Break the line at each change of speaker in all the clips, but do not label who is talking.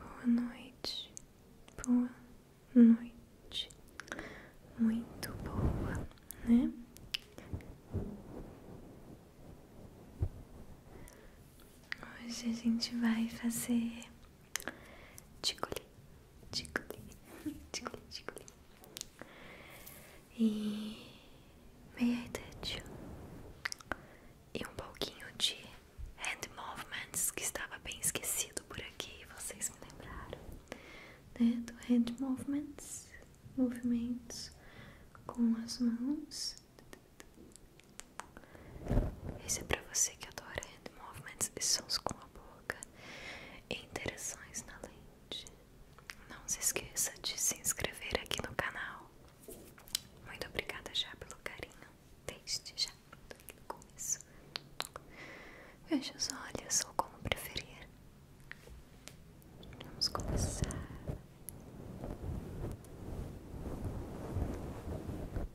Boa noite, boa noite, muito boa, né? Hoje a gente vai fazer Ticuli, ticuli, ticuli, ticuli. E meia touch e um pouquinho de hand movements que estava bem esquecido por aqui, vocês me lembraram, né? Do hand movements, movimentos com as mãos. Esse é para você que adora hand movements e sons com a boca e interações na lente. Não se esqueça de se inscrever aqui no canal. Muito obrigada já pelo carinho. Desde já aqui no começo. Feche os olhos ou como preferir. Vamos começar.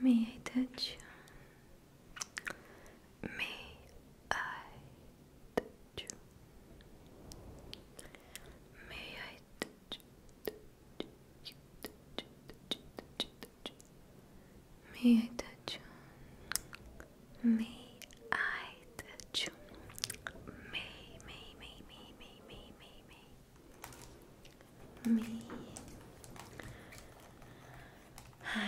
May I touch you? May I touch you? May I touch you? May I touch you? May I touch you? May, may, may, may, may, may, may, may. May I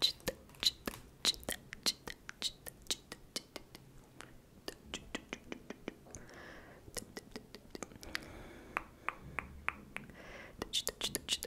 touch, touch, touch, touch, touch, touch, touch, touch, touch, touch, touch, touch, touch, touch, touch, touch, touch,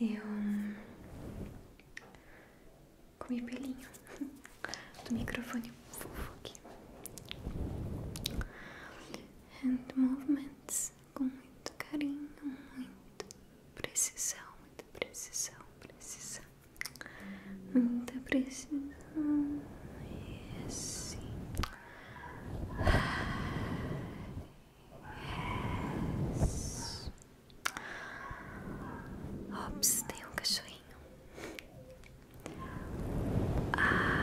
eu hum, comi pelinho do microfone fofo aqui. hand movements com muito carinho, muito precisão, muita precisão, precisão, muita precisão. E assim. Yes. Ops, tem um cachorrinho. A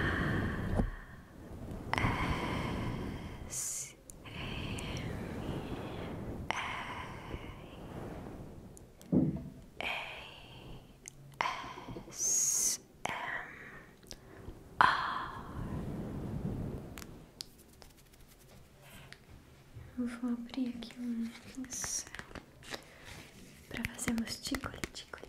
S S vou abrir aqui um pincel para fazermos ticoli ticoli.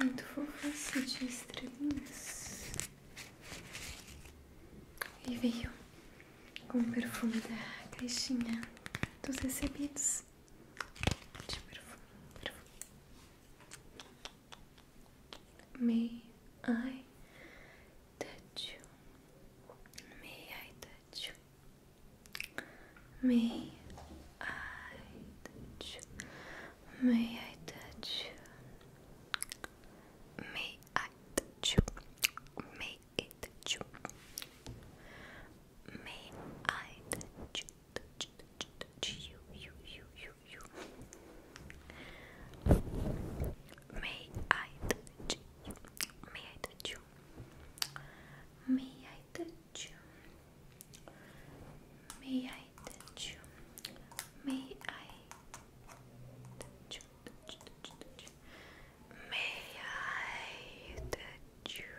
Muito fofa de estrelinhas. E veio com o perfume da caixinha dos recebidos de perfume. May I touch you? May I touch you? May I touch you? May I touch you? May I touch you? May I touch you? May I touch you? Touch, touch, touch you, you, you, you, you, you. May I touch you? May I touch you? May I touch you? May I touch you? May I touch you? Touch, touch, touch. May I touch you?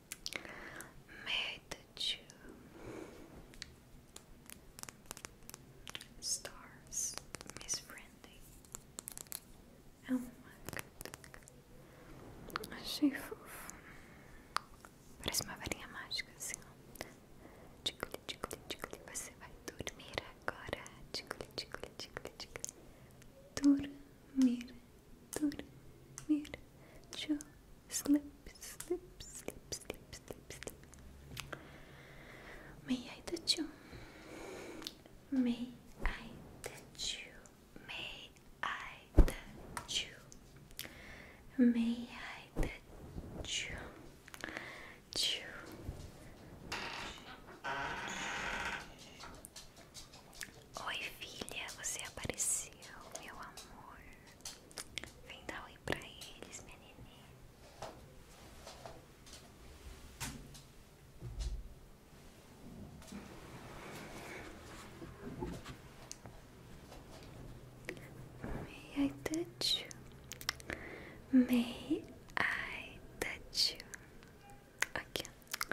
Magnitude Stars Miss Brandy É uma Achei fofo Parece uma varinha mágica assim ó Ticuli, ticuli, ticuli Você vai dormir agora Ticuli, ticuli, ticuli, ticuli Dormir Dormir Dormir Slip, slip, slip, slip, slip, slip. May I touch you? May I touch you? May I touch you? May I touch you? Tchou. Oi, filha, você apareceu, meu amor. Vem dar oi pra eles, minha May I touch you? May I touch you? Aqui, ó.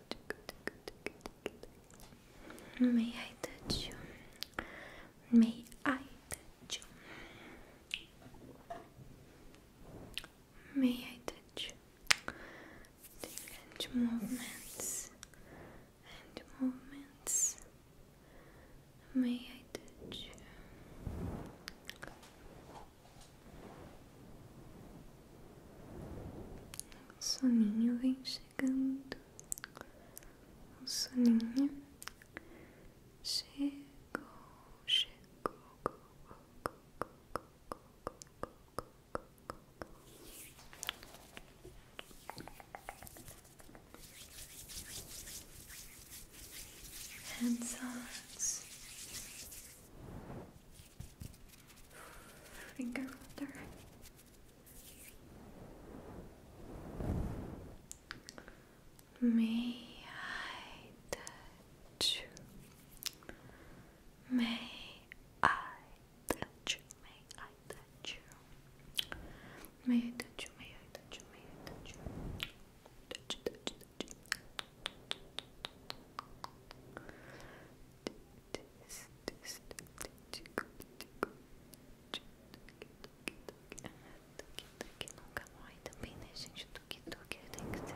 May I touch you? May I touch you? May I touch you? Different movements and movements. May I touch you? O soninho vem chegando. O soninho chegou, chegou. Hands on. Finger holder. May I touch May I touch May I touch May I touch May I touch Touch, touch, touch. Tuk-tuk nunca morre também, né, gente? Tuk-tuk tem que ser.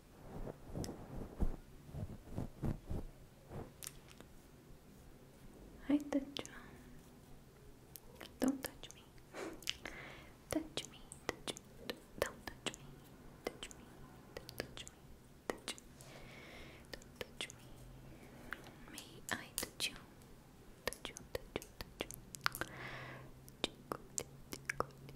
I touch you. Don't touch me. touch me. Touch Don't touch me. Touch me. touch me. Touch me. touch me. May I Touch you. Touch you. Touch you. Touch you. Touch you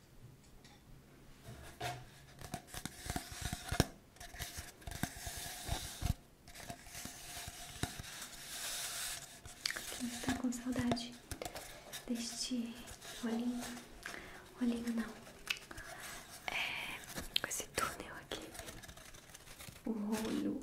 Quem está com saudade deste olhinho? Olhinho não. É com esse túnel aqui. O olho.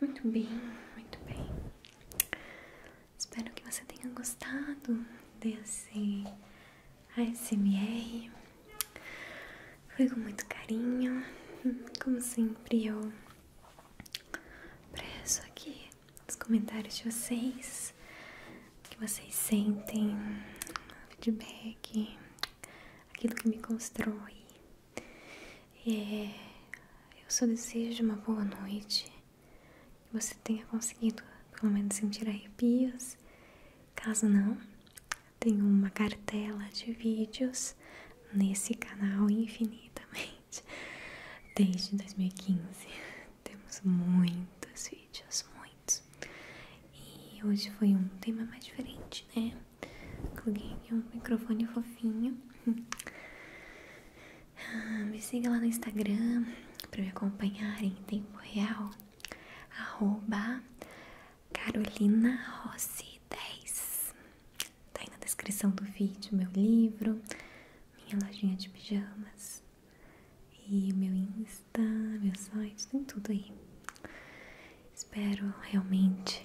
Muito bem, muito bem. Espero que você tenha gostado desse ASMR. Foi com muito carinho. Como sempre, eu preço aqui os comentários de vocês, o que vocês sentem, feedback, aquilo que me constrói. É, eu só desejo uma boa noite. Que você tenha conseguido pelo menos sentir arrepios. Caso não, tenho uma cartela de vídeos nesse canal infinitamente. Desde 2015 temos muitos vídeos, muitos. E hoje foi um tema mais diferente, né? Coloquei um microfone fofinho. Ah, me siga lá no Instagram para me acompanhar em tempo real. Arroba 10. Tá aí na descrição do vídeo meu livro, minha lojinha de pijamas e meu Insta, meu site, tem tudo aí. Espero realmente